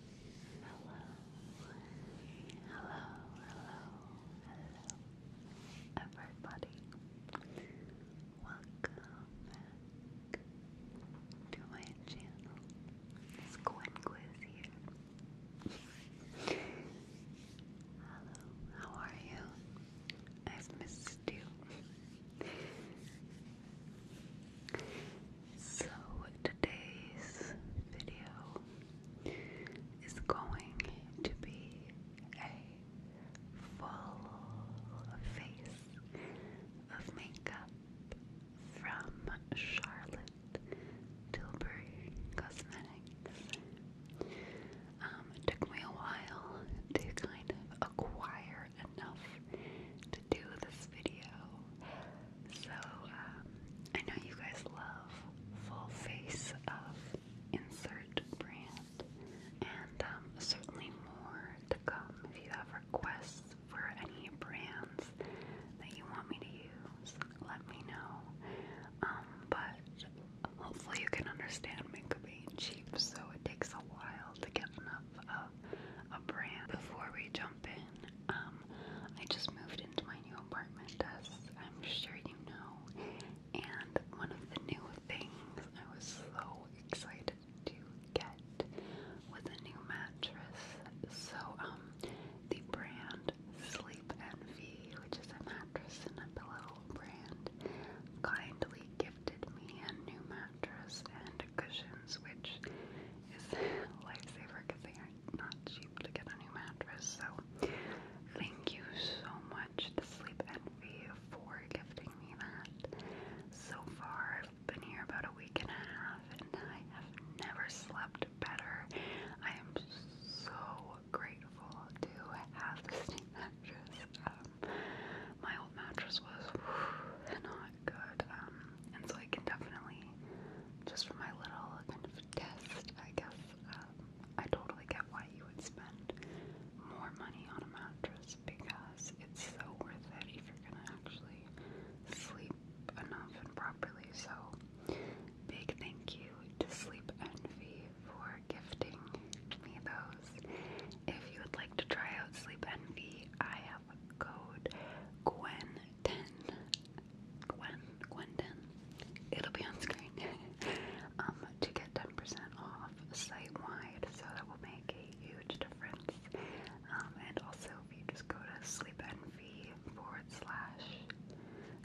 Hello, hello, hello, hello, everybody. Welcome back to my channel. It's Gwen here. hello, how are you? I've missed you. So, today's video is going to be a full face of makeup from Charlotte Tilbury Cosmetics. Um, it took me a while to kind of acquire enough to do this video. So, um, I know you guys love full face of insert brand, and um, certainly more to come. If you have requests for any brands that you want me to use, let me know. Um, but hopefully, you can understand makeup being cheap, so it takes a while to get enough of a brand. Before we jump in, um, um, I just moved into my new apartment, as I'm sure you know, and one of the new things I was so excited to get was a new mattress. So, um, the brand Sleep and NV, which is a mattress and a pillow brand, kindly gifted me a new mattress and cushions, which is lifesaver because they are not cheap to get a new mattress. So thank you so much to Sleep Envy for gifting me that. So far, I've been here about a week and a half and I have never slept better. I am so grateful to have this new mattress. Um, my old mattress was whew, good. Um, and so I can definitely, just for my little kind of test, I guess, um, I totally get why you would spend more money on a mattress because it's so worth it if you're gonna actually sleep enough and properly. So, big thank you to Sleep Envy for gifting me those. If you would like to try out Sleep Envy, I have a code Gwen Ten. Gwen. Gwendon. It'll be on screen. um, to get 10% off site-wide, so that will make a huge difference. Um, and also, if you just go to sleepenvy forward slash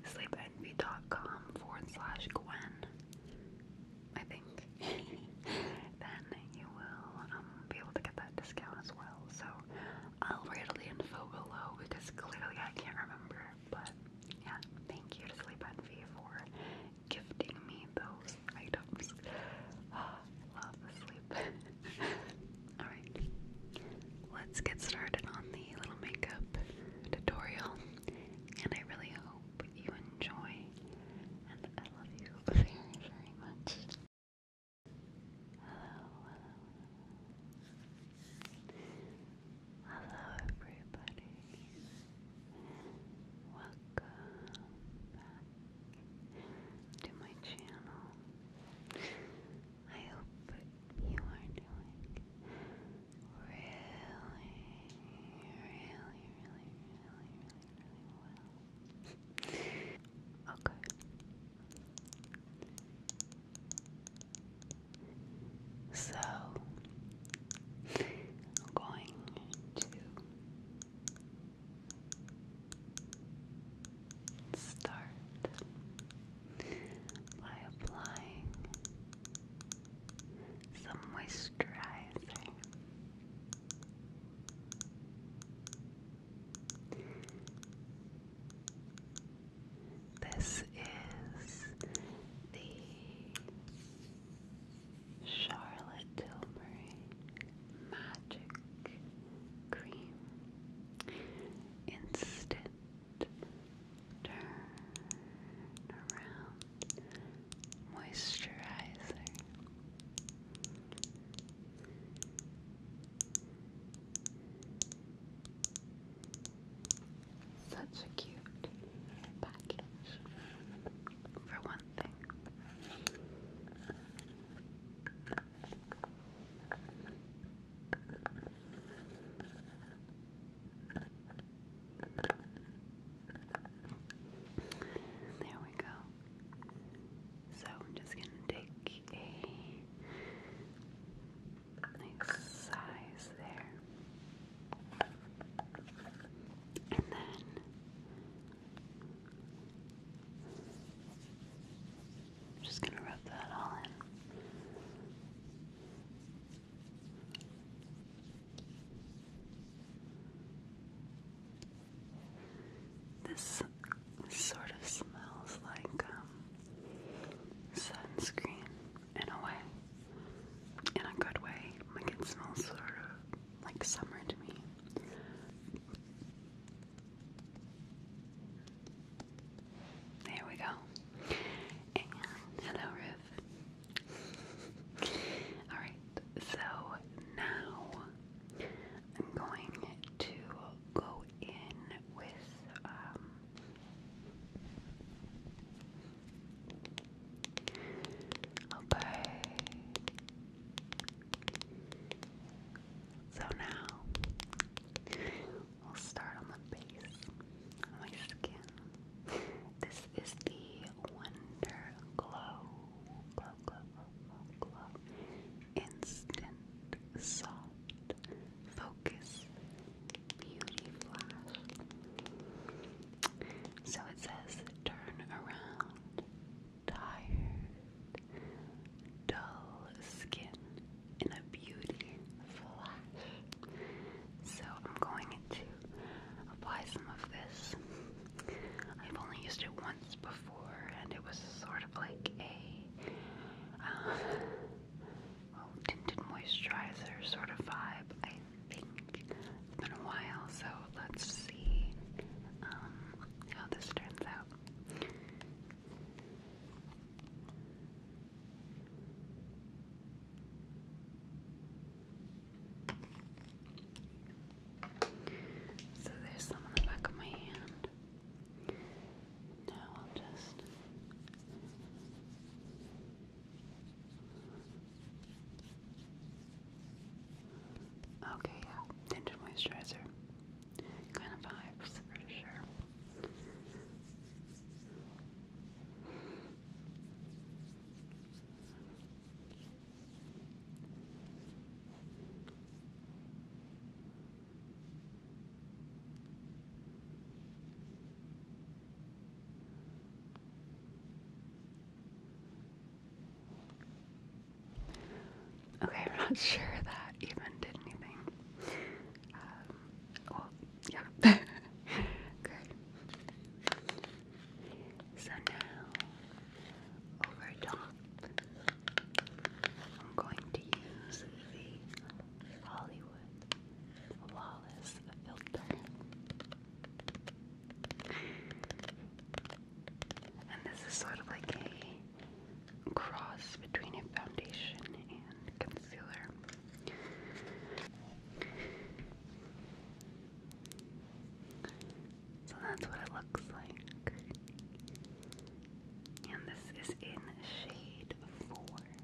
sleepenvy.com forward slash Gwen, I think, then you will um, be able to get that discount as well. So I'll write all the info below because clearly I can't remember. But yeah, thank you to Sleep Envy for gifting me those items. love sleep. Alright, let's get started on the little makeup tutorial. And I really hope you enjoy. And I love you very, very much hello, hello, hello everybody. Welcome back to my channel. I hope you are doing really, really, really, really, really, really well. Okay. So I'm going to start by applying some moisturizer. This is the Charlotte Tilbury Magic Cream Instant Turn Around Moisturizer. Such a cute package, for one thing. There we go. So I'm just going to take a nice size there. And then just going to rub that all in. This sort of smells like um, sunscreen in a way, in a good way. Like it smells sort of like summer to me. There we go. hello, Riv. Alright, so now I'm going to go go in with um, okay. So now we'll start on the base my skin. This is the Wonder glow instant, soft, focus, beauty flash. So it says turn around, tired, dull skin in a beauty flash. So I'm going to apply some of this. I've only used it once before and it was sort of like a Oh, tinted moisturizer sort of vibe, I think. It's been a while, so let's see um, how this turns out. So there's some on the back of my hand. Now I'll just Okay, yeah, tinted moisturizer. Kind of vibes for sure. Okay, I'm not sure that even did anything. Um, yeah. Good. So now, over top I'm going to use the Hollywood Flawless Filter. And this is sort of like a cross between a foundation and concealer. So that's what it looks like and this is in shade 4 medium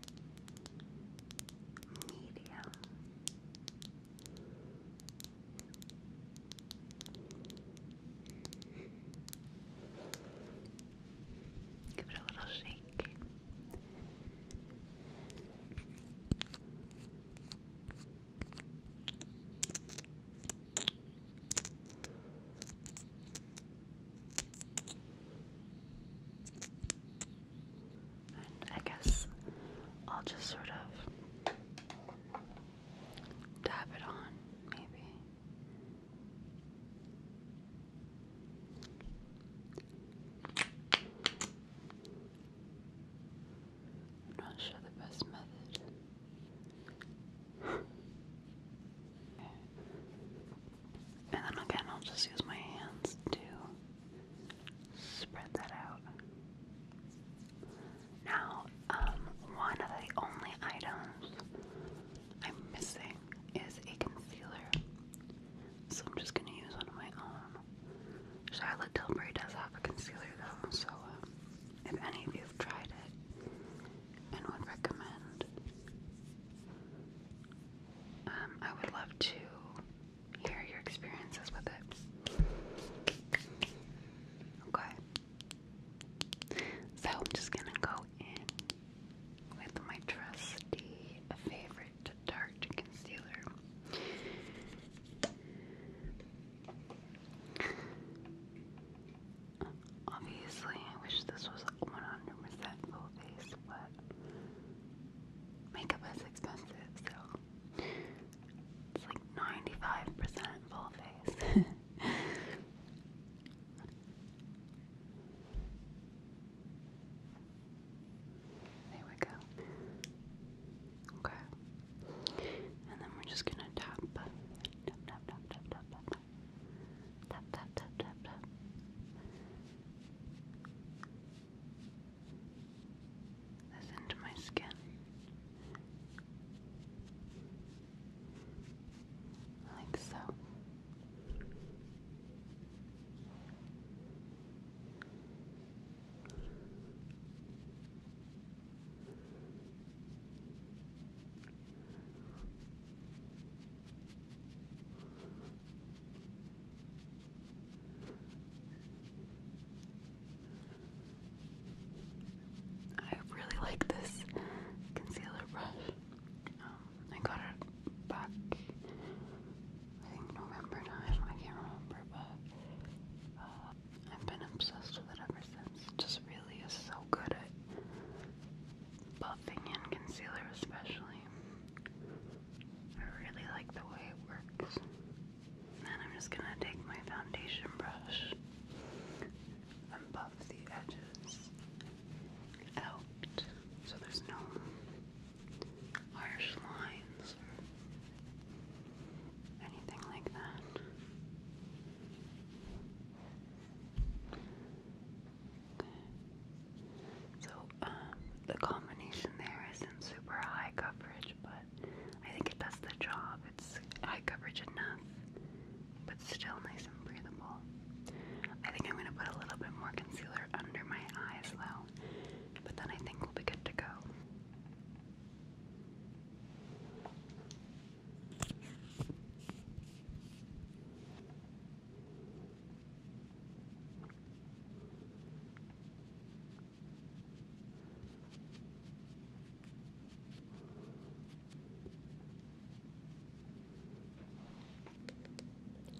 give it a little shake I guess I'll just sort of dab it on, maybe. not sure the best method and then again, I'll just use my hands to spread that out. Now, um, one of the only items I'm missing is a concealer. So I'm just going to use one of my own. Charlotte Tilbury does have a concealer though, so um, if any of you have tried it, and would recommend. Um, I would love to hear your experiences with it. Okay. So I'm just gonna go in with my trusty favorite Tarte concealer. Obviously, I wish this was 100% full face, but makeup is expensive, so it's like 95% full face. There we go. Okay. And then we're just gonna tap. Tap, tap, tap, tap, tap, Tap, tap, tap, tap, tap. This into my skin. Like so. I really like this concealer brush. Um, I got it back, November time, I can't remember, but uh, I've been obsessed with it ever Emerson's just really is so good at buffing in concealer especially. I really like the way it works. then I'm just gonna take my foundation brush and buff the edges out so there's no harsh lines or anything like that. Okay. So, um, the combination there isn't super high coverage, but I think it does the job. It's high coverage enough, but still nice and breathable. I think I'm going to put a little bit more concealer under my eyes, though, but then I think we'll be good to go.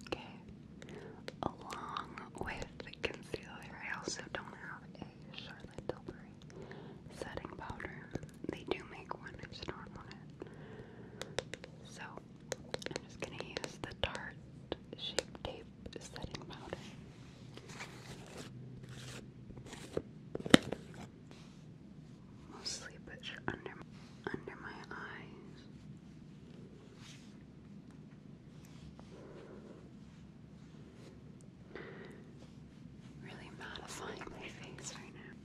Okay. Along with the concealer, I also don't have a the setting powder. They do make one, I just So, I'm just gonna use the Tarte Shape Tape setting powder. Mostly push under under my eyes. Really modifying my face right now.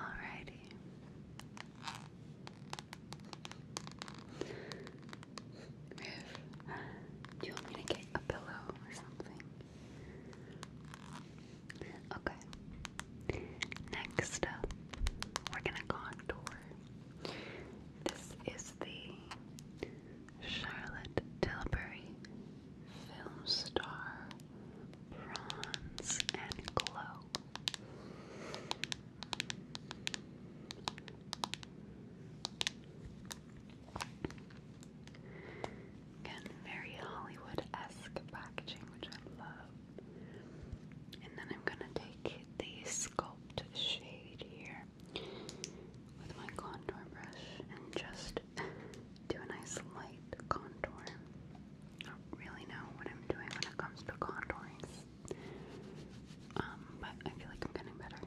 Alrighty. do you want me to get a pillow or something? Okay. Next we're gonna contour. This is the Charlotte Tilbury Film Star Bronze and Glow. Again, very Hollywood-esque packaging, which I love. And then I'm gonna take the sculpt shade here with my contour brush and just do a nice light contour. I don't really know what I'm doing when it comes to contouring, um, but I feel like I'm getting better.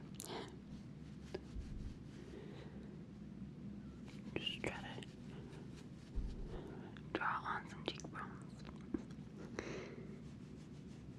Just try to draw on some cheekbones.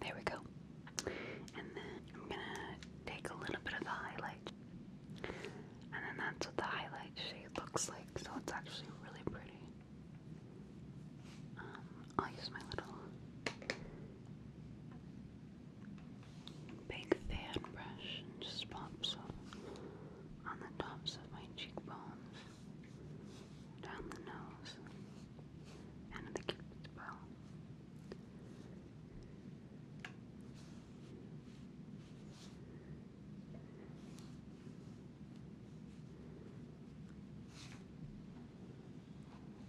There we go. And then I'm gonna take a little bit of the highlight. And then that's what the highlight shade looks like, so it's actually really pretty. Um, I'll use my little big fan brush and just pop some on the tops of my cheekbones, down the nose, and the cupid's bow.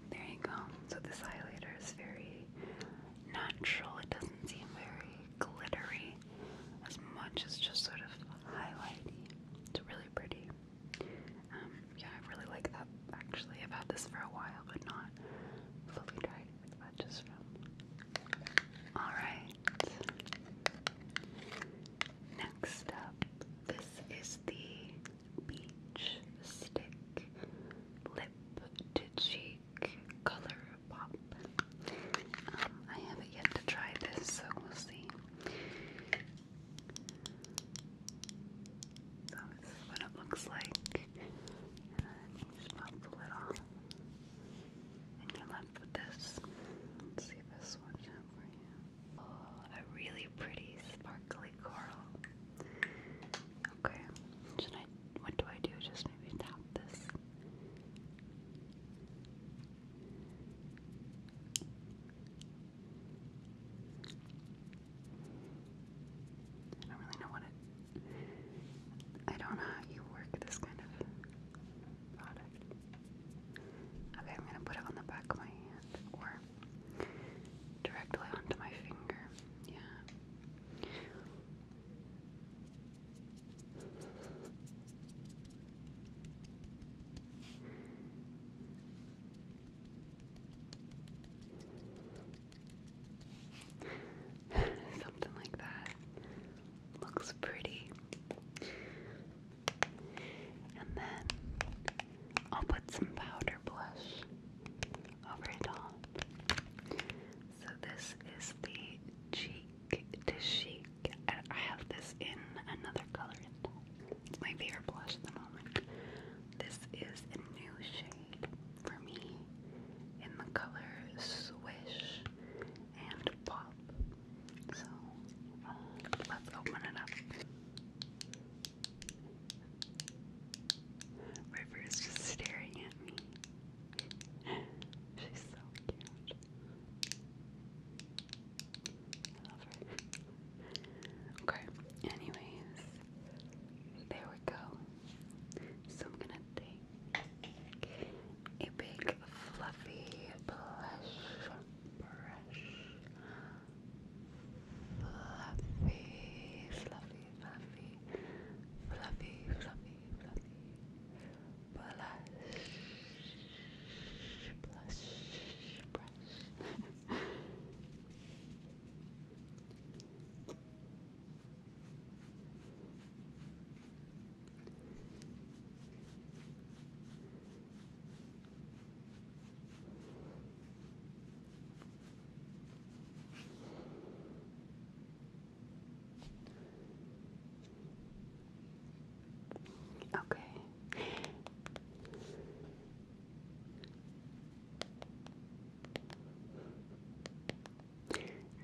There you go. So this highlighter is very natural. It doesn't seem very glittery as much as just sort of highlighty. It's really pretty. Um, yeah, I really like that actually. I've had this for a while but not fully tried but just from. Alright. Next up this is the Beach Stick Lip to Cheek Color Pop. Um, I haven't yet to try this, so we'll see. So this is what it looks like. you just pop the lid off. And you're left with this. Let's see this works out for you a really pretty sparkly coral. Okay, should I? What do I do? Just maybe tap this. I don't really know what it. I don't know how you work this kind of product. Okay, I'm gonna put it on the back of my hand or directly onto my finger. Yeah. Something like that. Looks pretty. And then I'll put some powder blush over it all. So this is the Cheek to Chic. I have this in another color. It's my favorite blush at the moment. This is a new shade for me in the color Swish and Pop. So let's open it up. River is just staring at me. She's so cute. I love her. Okay, anyways, there we go. So I'm gonna take a big fluffy blush fresh, fluffy, fluffy, fluffy, fluffy, fluffy, fluffy, blush, blush, brush. Okay.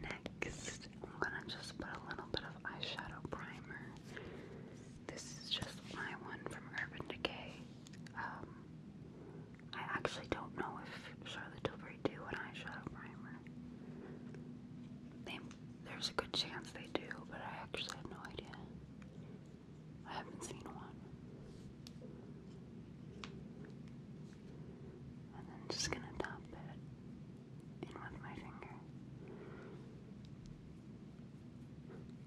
Next, I'm going to just put a little bit of eyeshadow primer this is just my one from Urban Decay. Um, I actually don't know if Charlotte Tilbury do an eyeshadow primer. They, there's a good chance they do, but I actually have no idea. I haven't seen one. And then just gonna tap it in with my finger.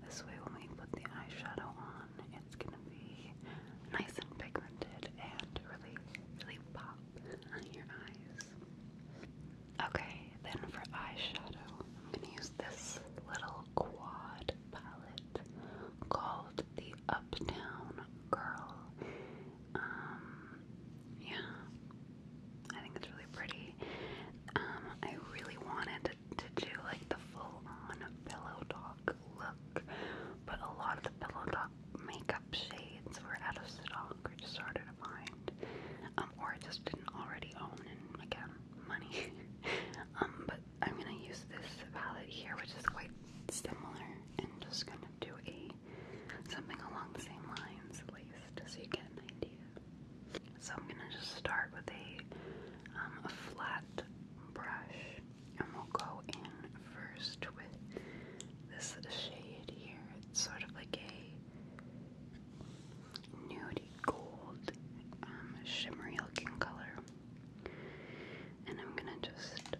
This way, when we put the eyeshadow on, it's gonna be nice and pigmented and really, really pop on your eyes. Okay, then for eyeshadow, I'm gonna use this little quad palette called the Uptown Girl. Um, yeah, I think it's really pretty. Um, I really wanted to, do like the full-on pillow talk look, but a lot of the pillow talk makeup shades were out of stock or just harder to find, um, or I just didn't already own and again money. Um, but I'm gonna use this palette here, which is quite similar, and just gonna do a something along the same lines at least, so you get an idea. So I'm going to just start with um, a, flat brush and we'll go in first with this shade here. It's sort of like a nudie gold um, shimmery looking color. And I'm going to just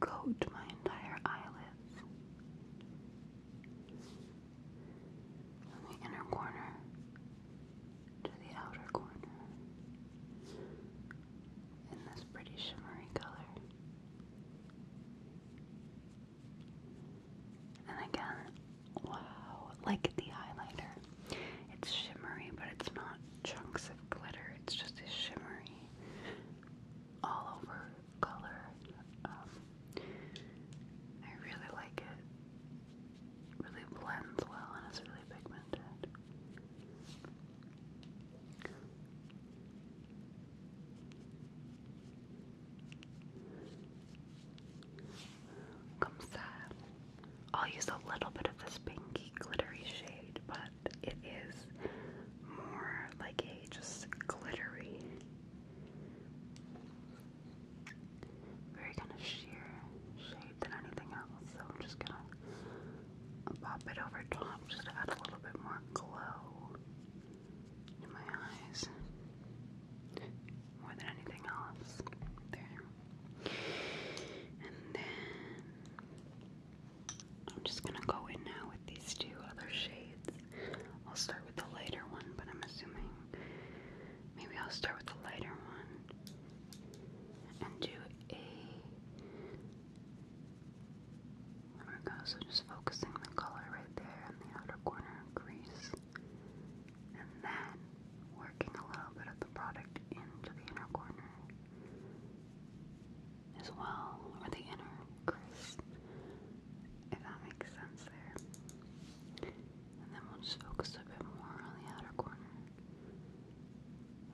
coat my entire eyelids from the inner corner to the outer corner in this pretty shimmery color. And again, wow, like the highlighter. It's shimmery, but it's not chunks of glitter, it's just a shimmery all over color. Um, I really like it. Really blends well and it's really pigmented. Comes that. I'll use a little bit of this pinky glittery shade, but it is more like a just glittery very kind of sheer shape than anything else, so I'm just gonna pop it over top just to add a little bit more glow to my eyes more than anything else. There. And then I'm just gonna go in now with these two other shades. I'll start with the lighter one, but I'm assuming maybe I'll start with the lighter one and do a. There we go, so just focusing the color right there in the outer corner crease. And then working a little bit of the product into the inner corner as well, or the inner crease if that makes sense there. And then we'll just focus a bit more on the outer corner.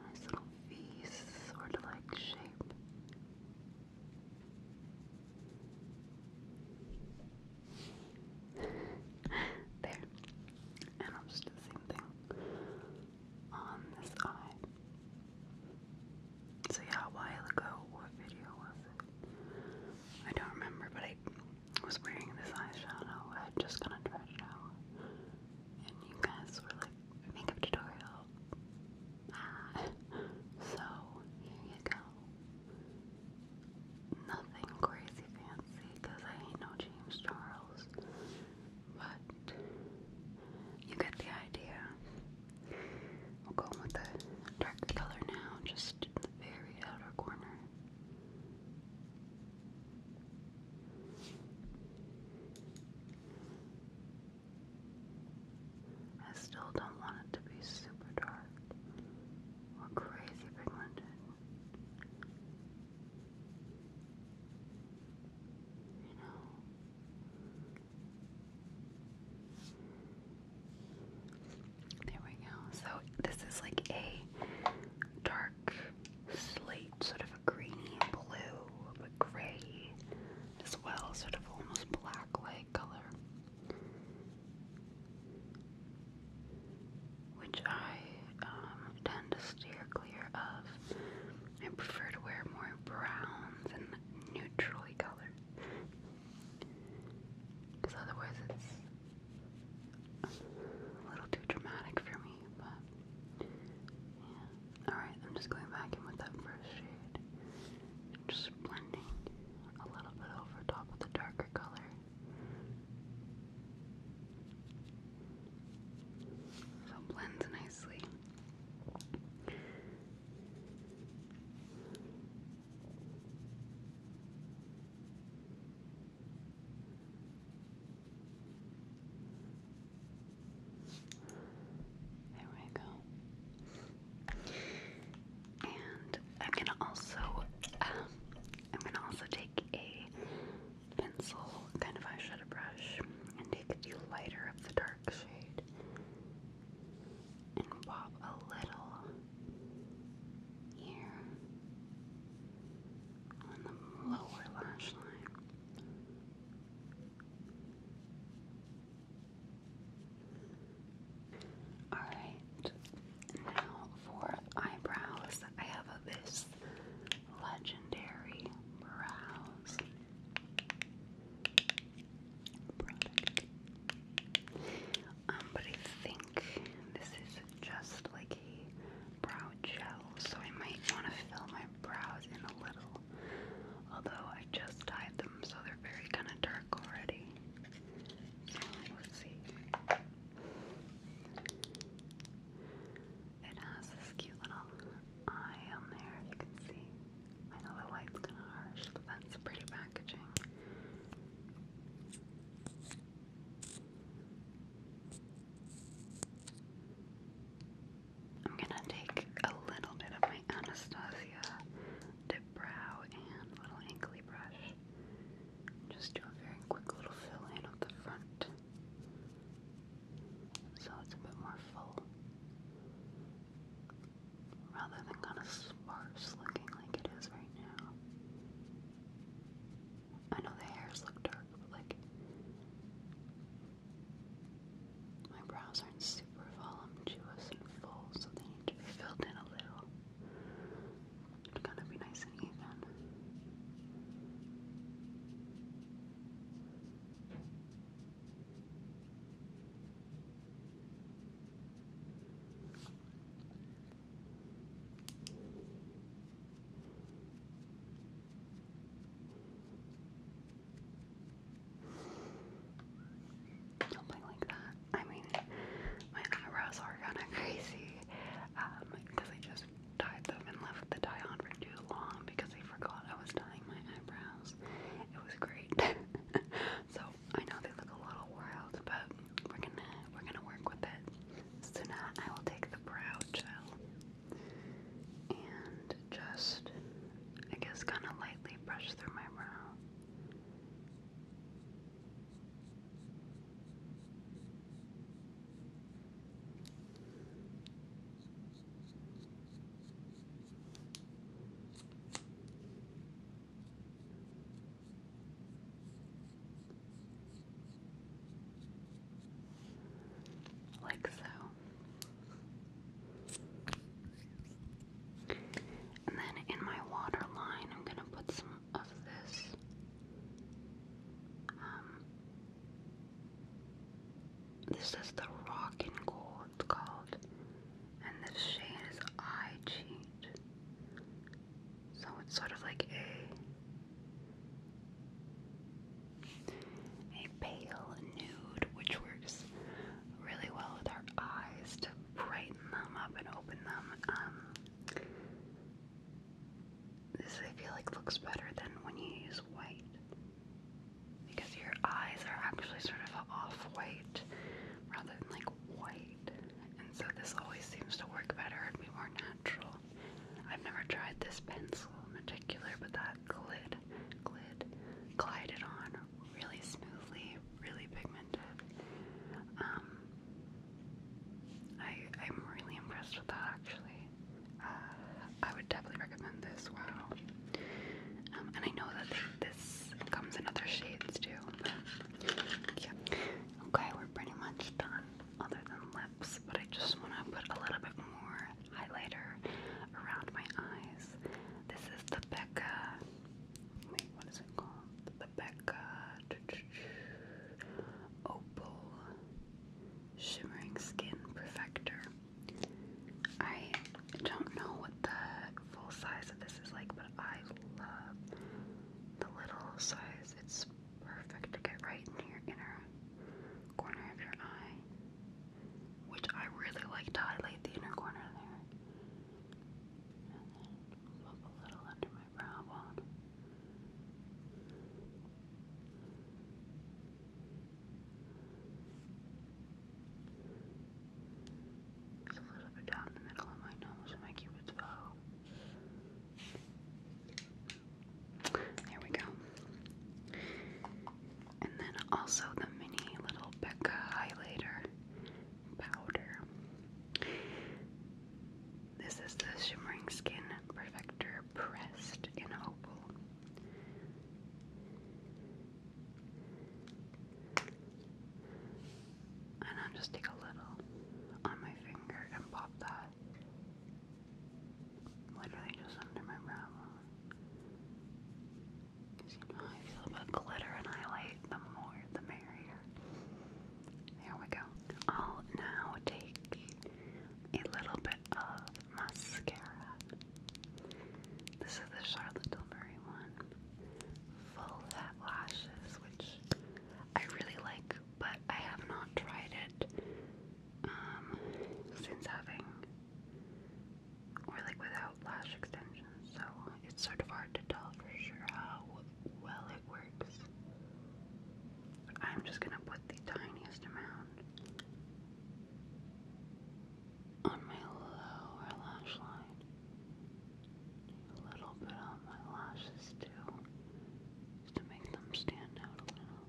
Nice little V sort of like shape. there. And I'll just do the same thing on this eye. So yeah, a while ago, what video was it? I don't remember, but I was wearing this eyeshadow. i just got to try it out. And you guys were like, makeup tutorial. Ah. So, here you go. Nothing crazy fancy, because I ain't no James Charles. But, you get the idea. We'll go in with a darker color now, just the very outer corner. I still don't want it to be super dark or crazy pigmented. You know, there we go. So this is like a dark slate, sort of a greeny blue, but gray as well, sort of almost black like color. Which I um, tend to steer clear of. I prefer to wear more browns and neutrally colored because otherwise it's a little too dramatic for me, but yeah. Alright, I'm just going back in with that first shade. Just blending a little bit over top of the darker color. So blends nicely. There we go. And I'm gonna also, um, I'm gonna also take a pencil, kind of eyeshadow brush, and take the lighter of the dark and pop a little here on the lower lash line. Alright, now for eyebrows, I have this legendary brows. Um, but I think this is just like a brow gel, so I might want to fill my brows in a little. Although I just dyed them, so they're very kind of dark already. So we'll see. It has this cute little eye on there, if you can see. I know the light's kind of harsh, but that's pretty packaging. I'm gonna take a little bit of my Anastasia dip brow and little inkly brush. Just do a very quick little fill in of the front so it's a bit more full rather than kind of sparse looking like it is right now. I know the hairs look dark, but like my brows aren't super voluptuous and full, so they need to be filled in a little. It's gonna be nice and even. Something like that. I mean, my eyebrows are kind of crazy because um, I just dyed them and left the dye on for too long because I forgot I was dyeing my eyebrows. It was great. So I know they look a little wild, but we're gonna we're gonna work with it. So now I will take the brow gel and just I guess kind of lightly brush through my brow. Like so. And then in my water I'm going to put some of this. Um, this is the Rock and Gold, called and this shade is I Cheat. So it's sort of like a a pale nude, which works really well with our eyes to brighten them up and open them. Um, this I feel like looks better than when you use white because your eyes are actually sort of off-white rather than like white. And so this always seems to work better and be more natural. I've never tried this pencil in particular, but that glid, glid, glided on really smoothly, really pigmented. Um, I, I'm really impressed with that actually. Uh, I would definitely recommend this, wow. Um, and I know that they, comes in other shades too. Okay, we're pretty much done, other than lips, but I just want to put a little bit more highlighter around my eyes. This is the Becca. Wait, what is it called? The Becca Opal Shimmering Skin Perfector. I don't know what the full size of this is like, but I love the little size. It's perfect to get right in your inner corner of your eye, which I really like to highlight the inner corner there. And then a little under my brow a little bit down the middle of my nose and my cupid's bow. There we go. And then also the mini little Becca highlighter powder. This is the Shimmering Skin Perfector Pressed in Opal. And I'll just take a little on my finger and pop that literally just under my brow I feel about glitter and highlight, the more the merrier. There we go. I'll now take a little bit of mascara. This is the Charlotte Tilbury one full set lashes, which I really like, but I have not tried it um, since having or like without lash extensions, so it's sort of hard to tell for sure how well it works. I'm just gonna put the tiniest amount on my lower lash line. A little bit on my lashes too, just to make them stand out a little.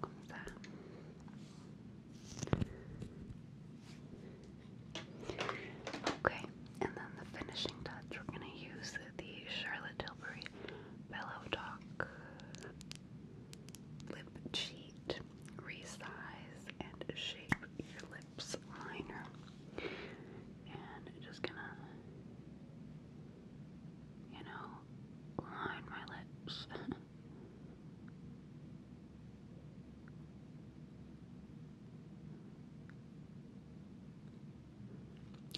Como está? Okay, and then the finishing touch, we're going to use the Charlotte Tilbury Bellow Talk Lip Cheat Resize and Shape Your Lips Liner. And just going to, you know, line my lips.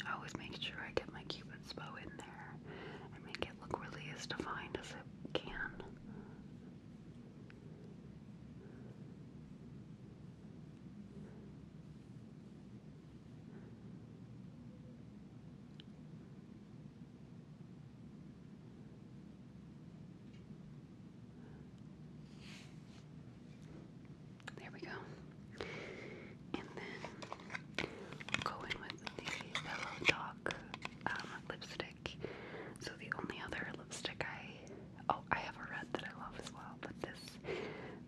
I always make sure I get my cupid's bow in there and make it look really as defined as it can. There we go. And then go in with the Pillow Talk um, lipstick. So the only other lipstick I oh I have a red that I love as well, but this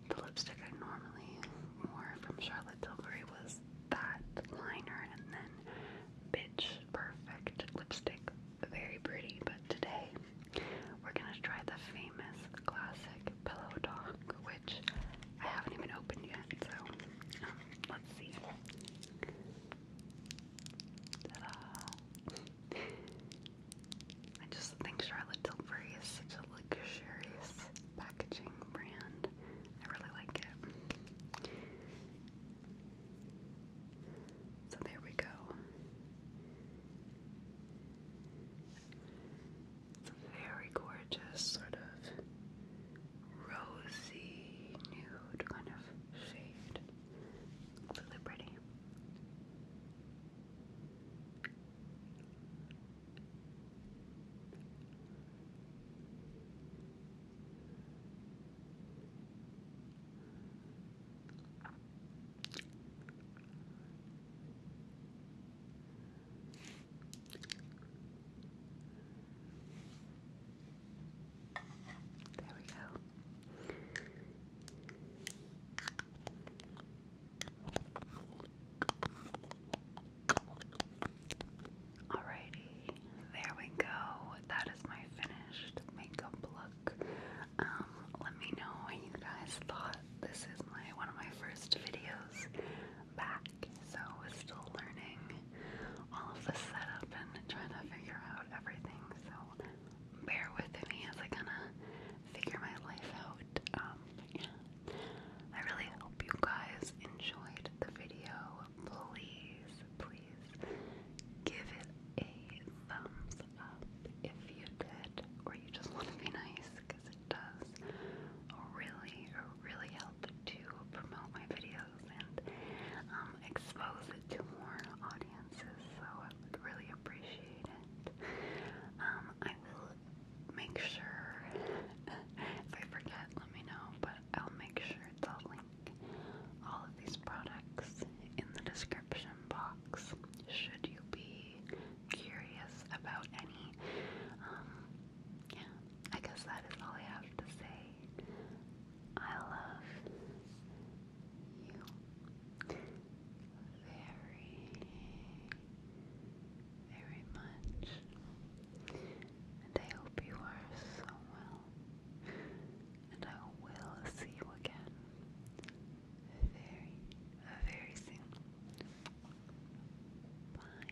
the lipstick I normally wore from Charlotte Tilbury was that liner and then Bitch Perfect lipstick. Very pretty, but today we're gonna try the famous classic pillow talk, which I haven't even opened yet, so um, let's see. I just think Charlotte Tilbury is such a luxurious packaging brand. I really like it. So there we go very gorgeous, sort of rosy nude kind of shade. Really pretty. Okay. There we go. Alrighty, there we go. That is my finished makeup look. Um, let me know what you guys thought this is my one of my first videos back, so I was still learning all of the setup and trying to figure out everything. So bear with me as I kind of figure my life out. Um, yeah. I really hope you guys enjoyed the video. Please, please give it a thumbs if you did, or you just want to be nice, because it does really, really help to promote my videos and um, expose it to more audiences. So I would really appreciate it. Um, I will make sure if I forget, let me know. But I'll make sure to link all of these products in the description box. Should you be curious about any. Um, yeah, I guess that is all I have to say. I love you very, very much. And I hope you are so well. And I will see you again very, very soon. Bye.